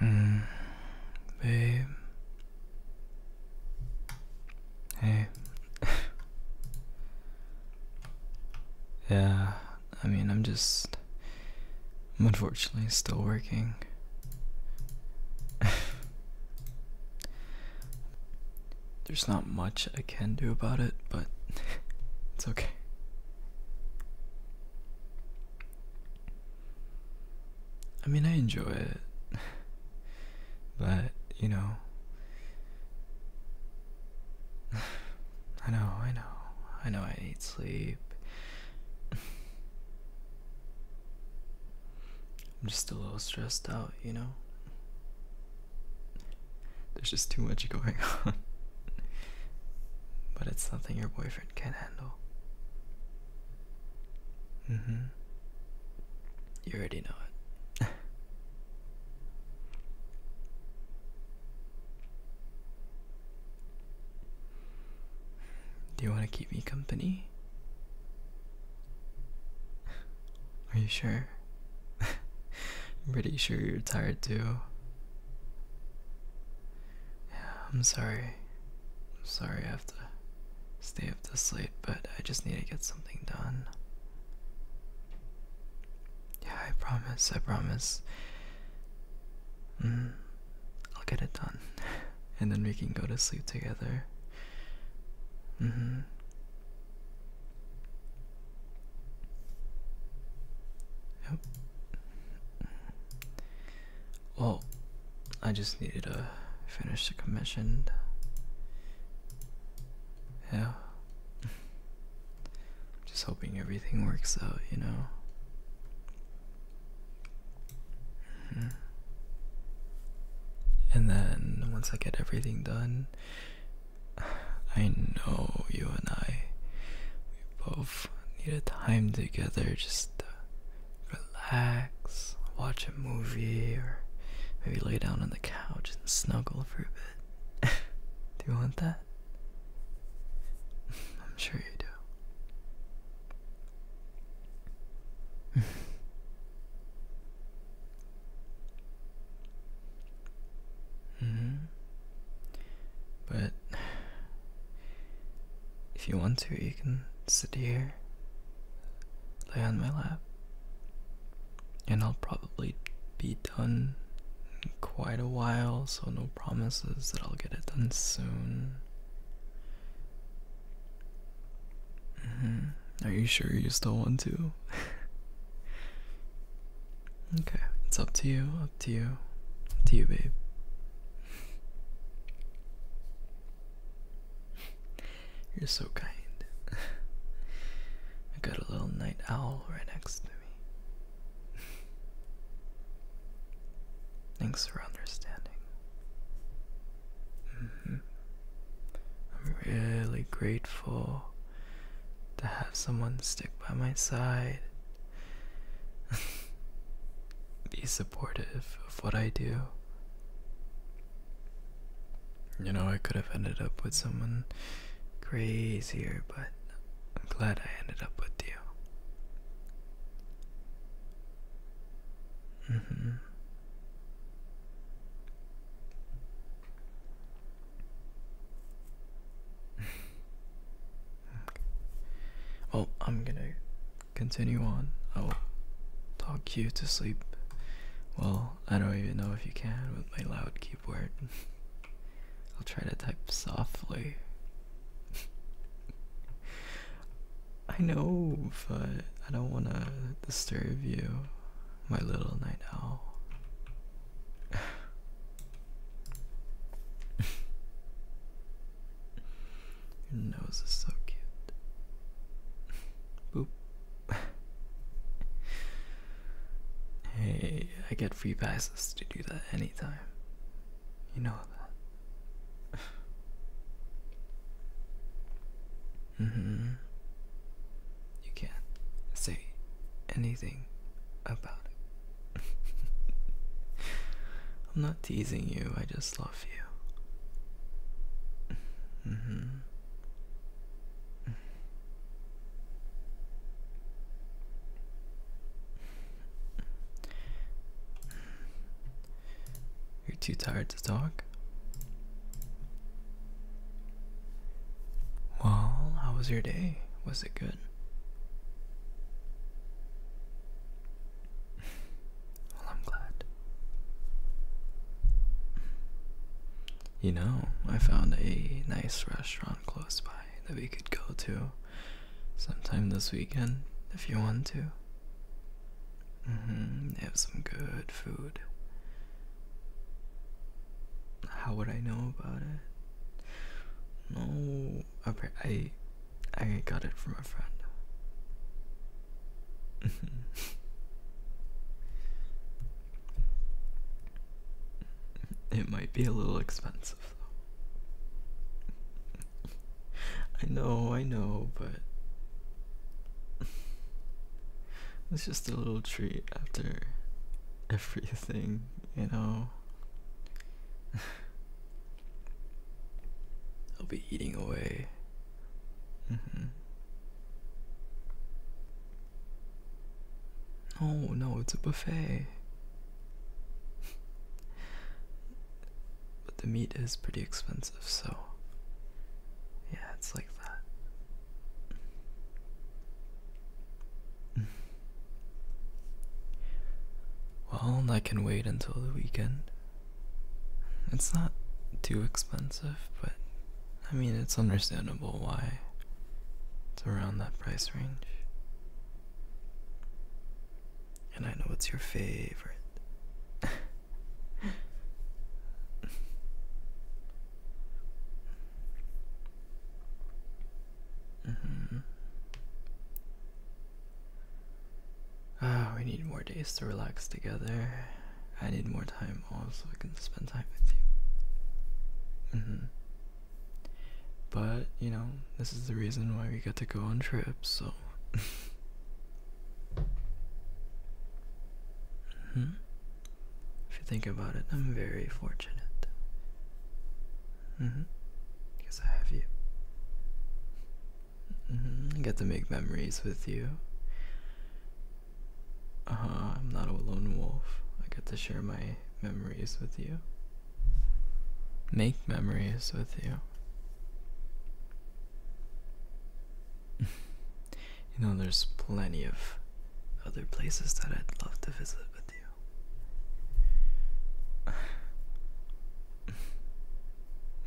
Mm, babe. Hey. yeah, I mean, I'm just. unfortunately still working. There's not much I can do about it, but it's okay. I mean, I enjoy it, but you know, I know, I know, I know I need sleep. I'm just a little stressed out, you know? There's just too much going on. But it's something your boyfriend can not Mm hmm. You already know it. Do you want to keep me company? Are you sure? I'm pretty sure you're tired too. Yeah, I'm sorry. I'm sorry I have to stay up this late, but I just need to get something done. Yeah, I promise, I promise. Mm, I'll get it done. and then we can go to sleep together. Mm hmm. Yep. Well, I just needed to finish the commission. Yeah. Just hoping everything works out, you know. Mm-hmm. And then once I get everything done, I know you and I both need a time together just relax, watch a movie, or maybe lay down on the couch and snuggle for a bit. do you want that? I'm sure you do. -hmm. But if you want to, you can sit here, lay on my lap, and I'll probably be done in quite a while, so no promises that I'll get it done soon. Mm-hmm. Are you sure you still want to? Okay, it's up to you, up to you, to you, babe. You're so kind. I got a little night owl right next to me. Thanks for understanding. Mm-hmm. I'm really grateful to have someone stick by my side be supportive of what I do. You know, I could have ended up with someone crazier, but I'm glad I ended up with you. Mm -hmm. Oh, I'm gonna continue on. I'll talk you to sleep. Well, I don't even know if you can with my loud keyboard. I'll try to type softly. I know, but I don't want to disturb you, my little night owl. Your nose is so cute. Boop. hey, I get free passes to do that anytime. You know that. mm hmm. You can't say anything about it. I'm not teasing you, I just love you. Mm-hmm. You're too tired to talk? Well, how was your day? Was it good? Well, I'm glad. You know, I found a nice restaurant close by that we could go to sometime this weekend if you want to. Mm-hmm, they have some good food. How would I know about it? No, I I got it from a friend. it might be a little expensive though. I know, I know, but it's just a little treat after everything, you know. I'll be eating away. Oh no, it's a buffet. but the meat is pretty expensive, so yeah, it's like that. Well, I can wait until the weekend. It's not too expensive, but I mean, it's understandable why it's around that price range. And I know it's your favorite. Mm -hmm. Ah, we need more days to relax together. I need more time also so I can spend time with you. Mm -hmm. But, you know, this is the reason why we get to go on trips, so. mm -hmm. If you think about it, I'm very fortunate. Mm-hmm. Because I have you. Mm-hmm. get to make memories with you. Uh huh. I'm not a lone wolf. I get to share my memories with you. Make memories with you. you know, there's plenty of other places that I'd love to visit with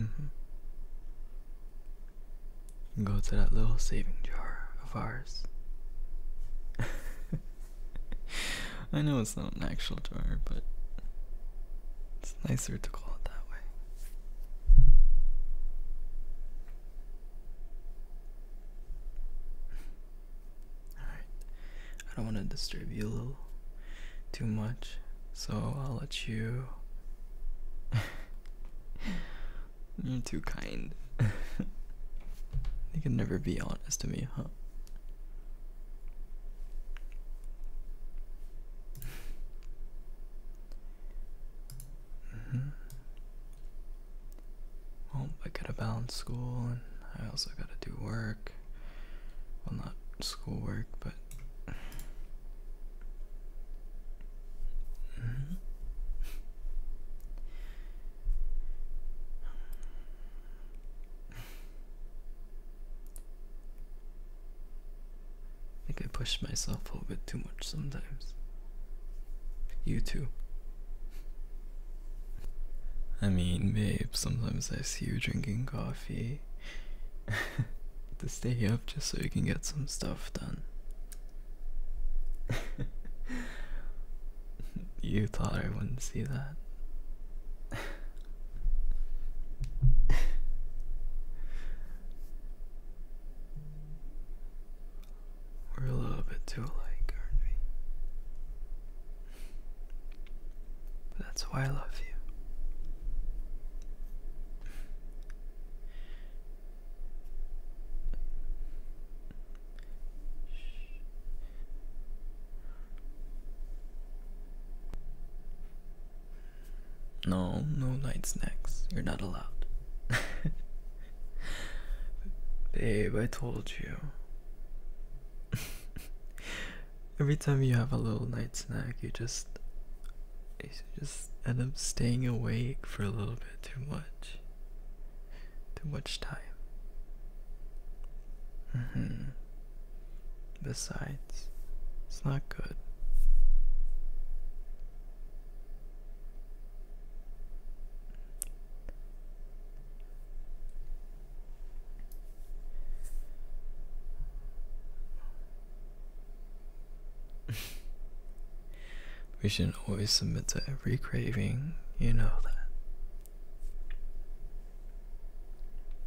Mm-hmm. Go to that little saving jar of ours. I know it's not an actual jar, but it's nicer to call it that way. Alright. I don't want to disturb you a little too much, so I'll let you. You're too kind. you can never be honest to me, huh? Mm -hmm. Well, I gotta balance school and I also gotta do work. Well, not school work, but. -hmm. think I push myself a little bit too much sometimes. You too. I mean, babe, sometimes I see you drinking coffee to stay up just so you can get some stuff done. you thought I wouldn't see that. We're a little bit too alike, aren't we? that's why I love you. No, no night snacks. You're not allowed. Babe, I told you. Every time you have a little night snack, you just you just end up staying awake for a little bit too much. Too much time. Mm -hmm. Besides, it's not good. we should not always submit to every craving, you know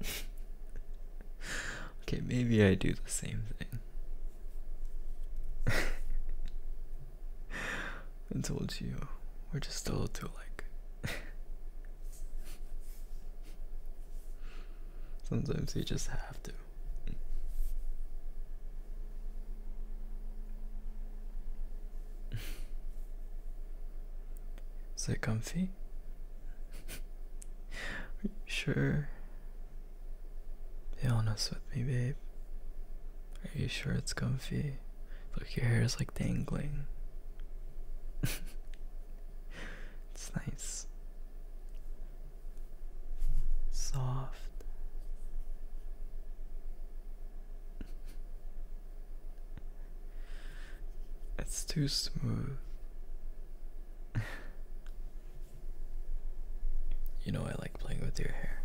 that. okay, maybe I do the same thing. I told you, we're just a little too like. Sometimes you just have to. Is it comfy? Are you sure? Be honest with me, babe. Are you sure it's comfy? Look, your hair is like dangling. it's nice. Soft. It's too smooth. you know, I like playing with your hair.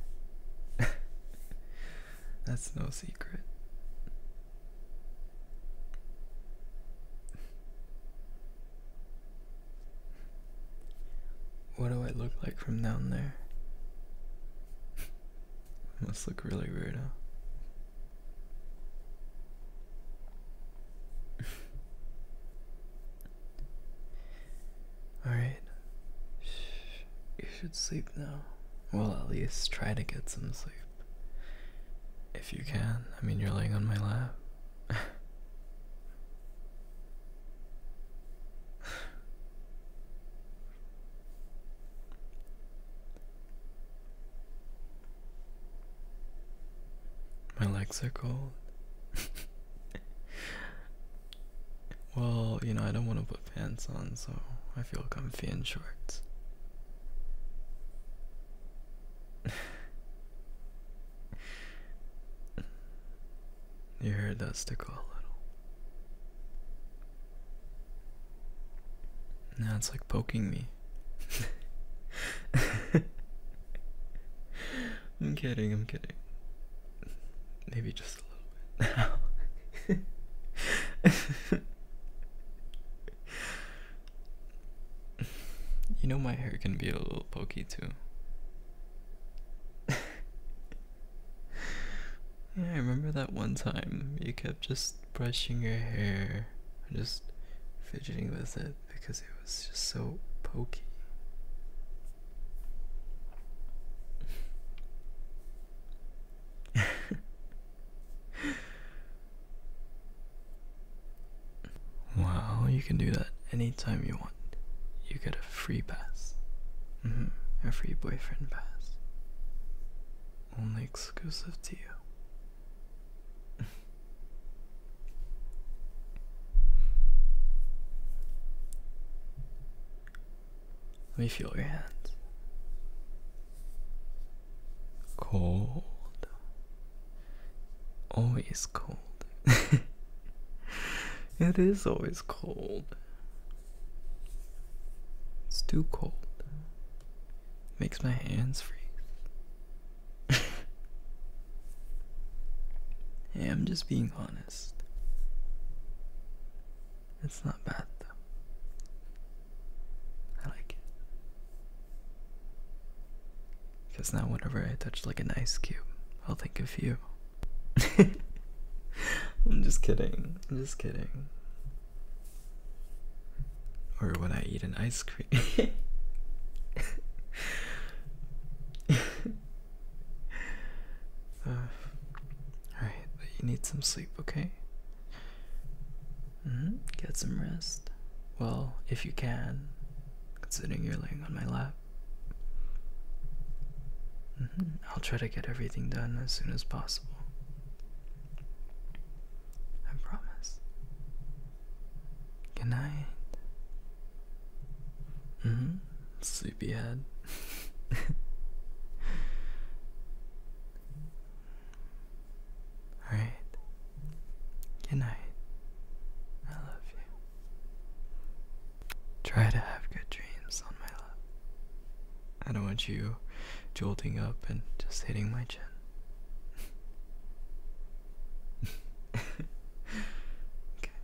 That's no secret. What do I look like from down there? Must look really weird, huh? All right. You should sleep now. Well, at least try to get some sleep. If you can. I mean, you're laying on my lap. my legs are cold. Well, you know, I don't want to put pants on, so I feel comfy in shorts. you heard that stickle a little. Now it's like poking me. I'm kidding, I'm kidding. Maybe just you know my hair can be a little pokey too. I remember that one time you kept just brushing your hair and just fidgeting with it because it was just so pokey. wow, you can do that anytime you want. You get a free pass. Mm -hmm. A free boyfriend pass. Only exclusive to you. Let me feel your hands. Cold. Always cold. it is always cold. It's too cold. Makes my hands freeze. I'm just being honest. It's not bad though. I like it. Because now, whenever I touch like an ice cube, I'll think of you. I'm just kidding. I'm just kidding. Or when I eat an ice cream. Uh, alright, you need some sleep, okay? -hmm. Get some rest. Well, if you can, considering you're laying on my lap. -hmm. I'll try to get everything done as soon as possible. I promise. Good night. -hmm. Sleepyhead. Alright. Good night. I love you. Try to have good dreams on my lap. I don't want you jolting up and just hitting my chin. okay.